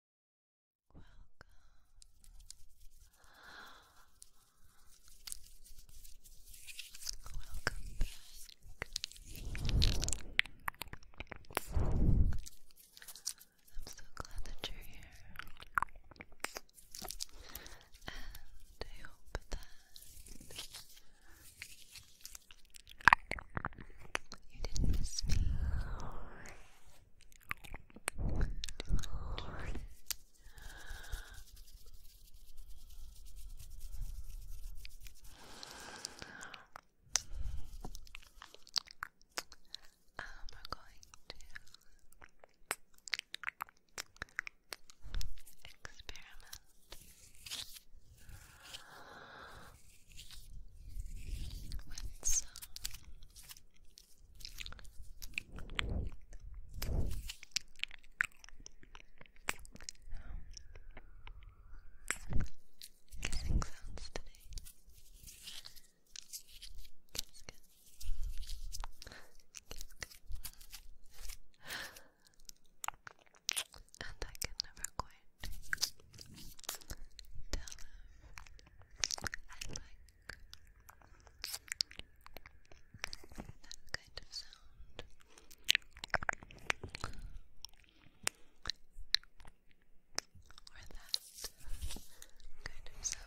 so glad that you're here. And I hope that you didn't miss me. Um, we're going to experiment with some And I can never quite tell I like that kind of sound. Or that kind of sound.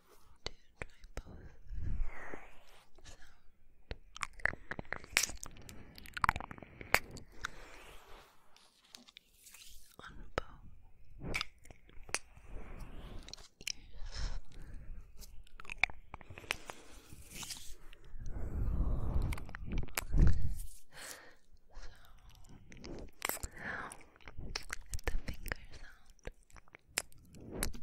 to try both sound on both ears. So, the finger sound kinds of variables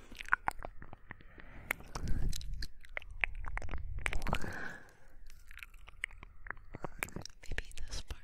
Maybe this part. Maybe this part.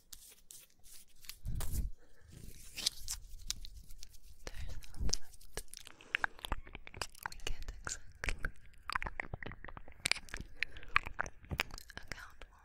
we can't exactly account for.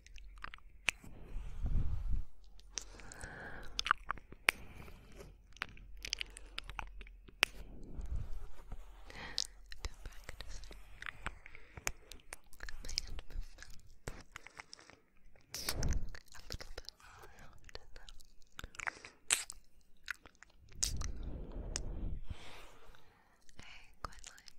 Been practicing my hand movements a little bit more often now. I quite like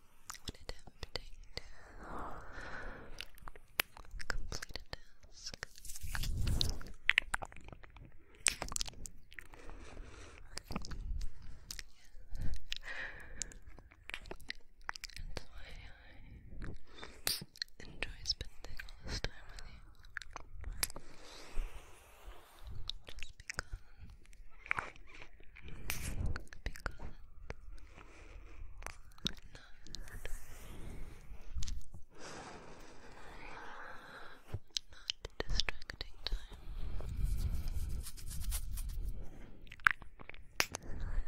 when attempting to complete a That's why I enjoy spending all this time with you. Just because not distracting time. It's relaxing Relaxing time.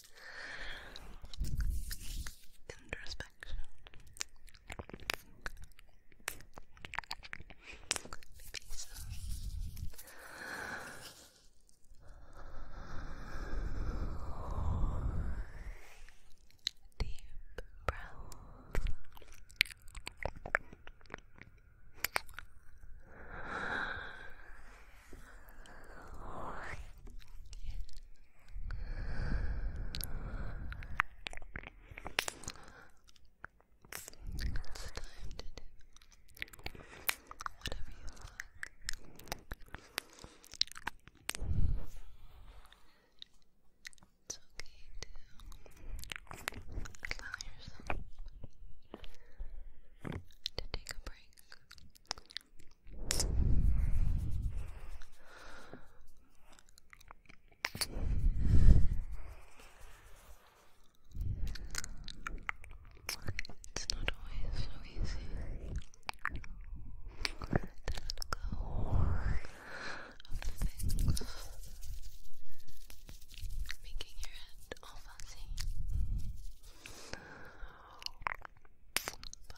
Introspection. Maybe deep breaths. It's time to do whatever you like. It's okay to allow yourself to take a break. It's not always so easy to let go of things, making your head all fuzzy. But if you just try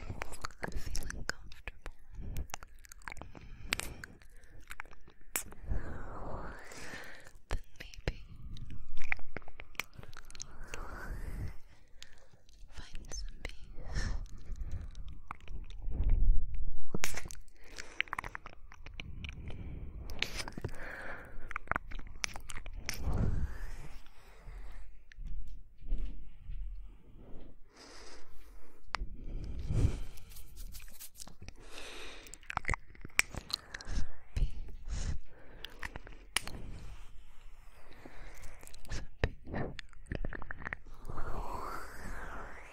to focus on feeling comfortable. Then maybe find some peace Peace. Peace.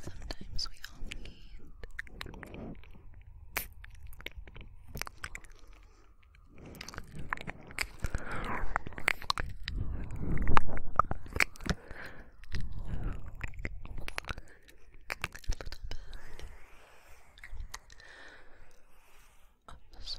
Sometimes we all need a little bit of softness.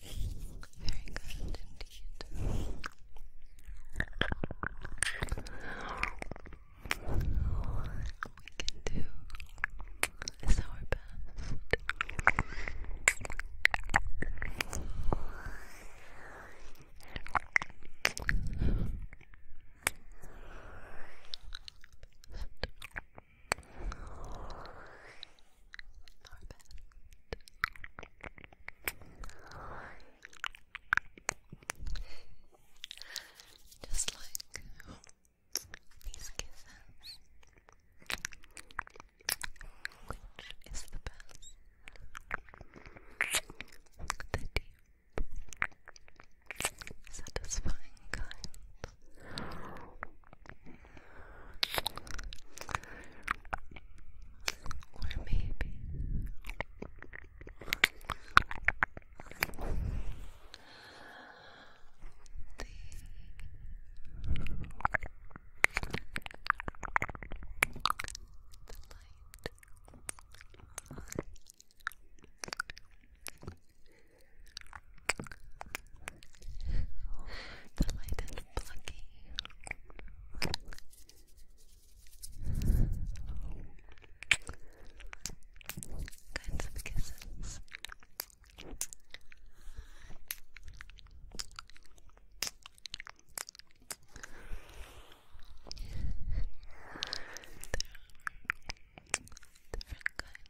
Very good indeed. All we can do is our best. Just like these kisses, which is the best? The deep, satisfying kind. Or maybe the light the light is Kinds of kisses. Different kinds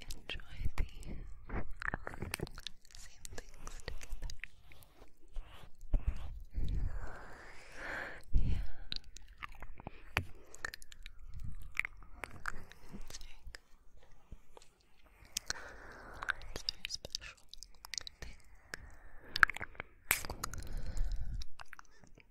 Enjoy the same things together. Yeah. It's very It's very special.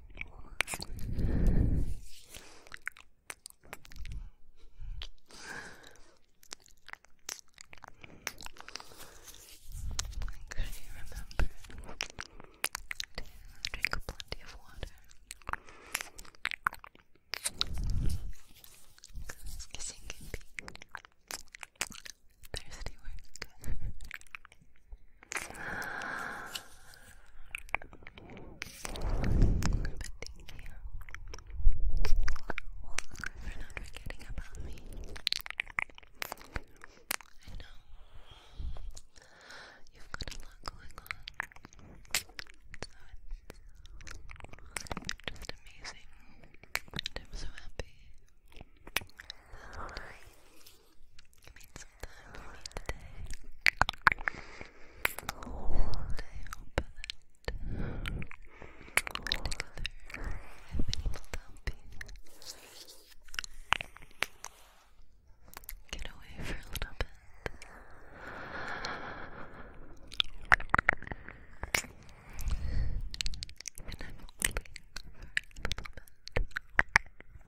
remember to drink plenty of water. Kissing can be thirsty work. but thank you for not forgetting about me. I know you've got a lot going on, it's just amazing, and I'm so happy you made some time for me today. And I hope that together I've been to help you get away for a little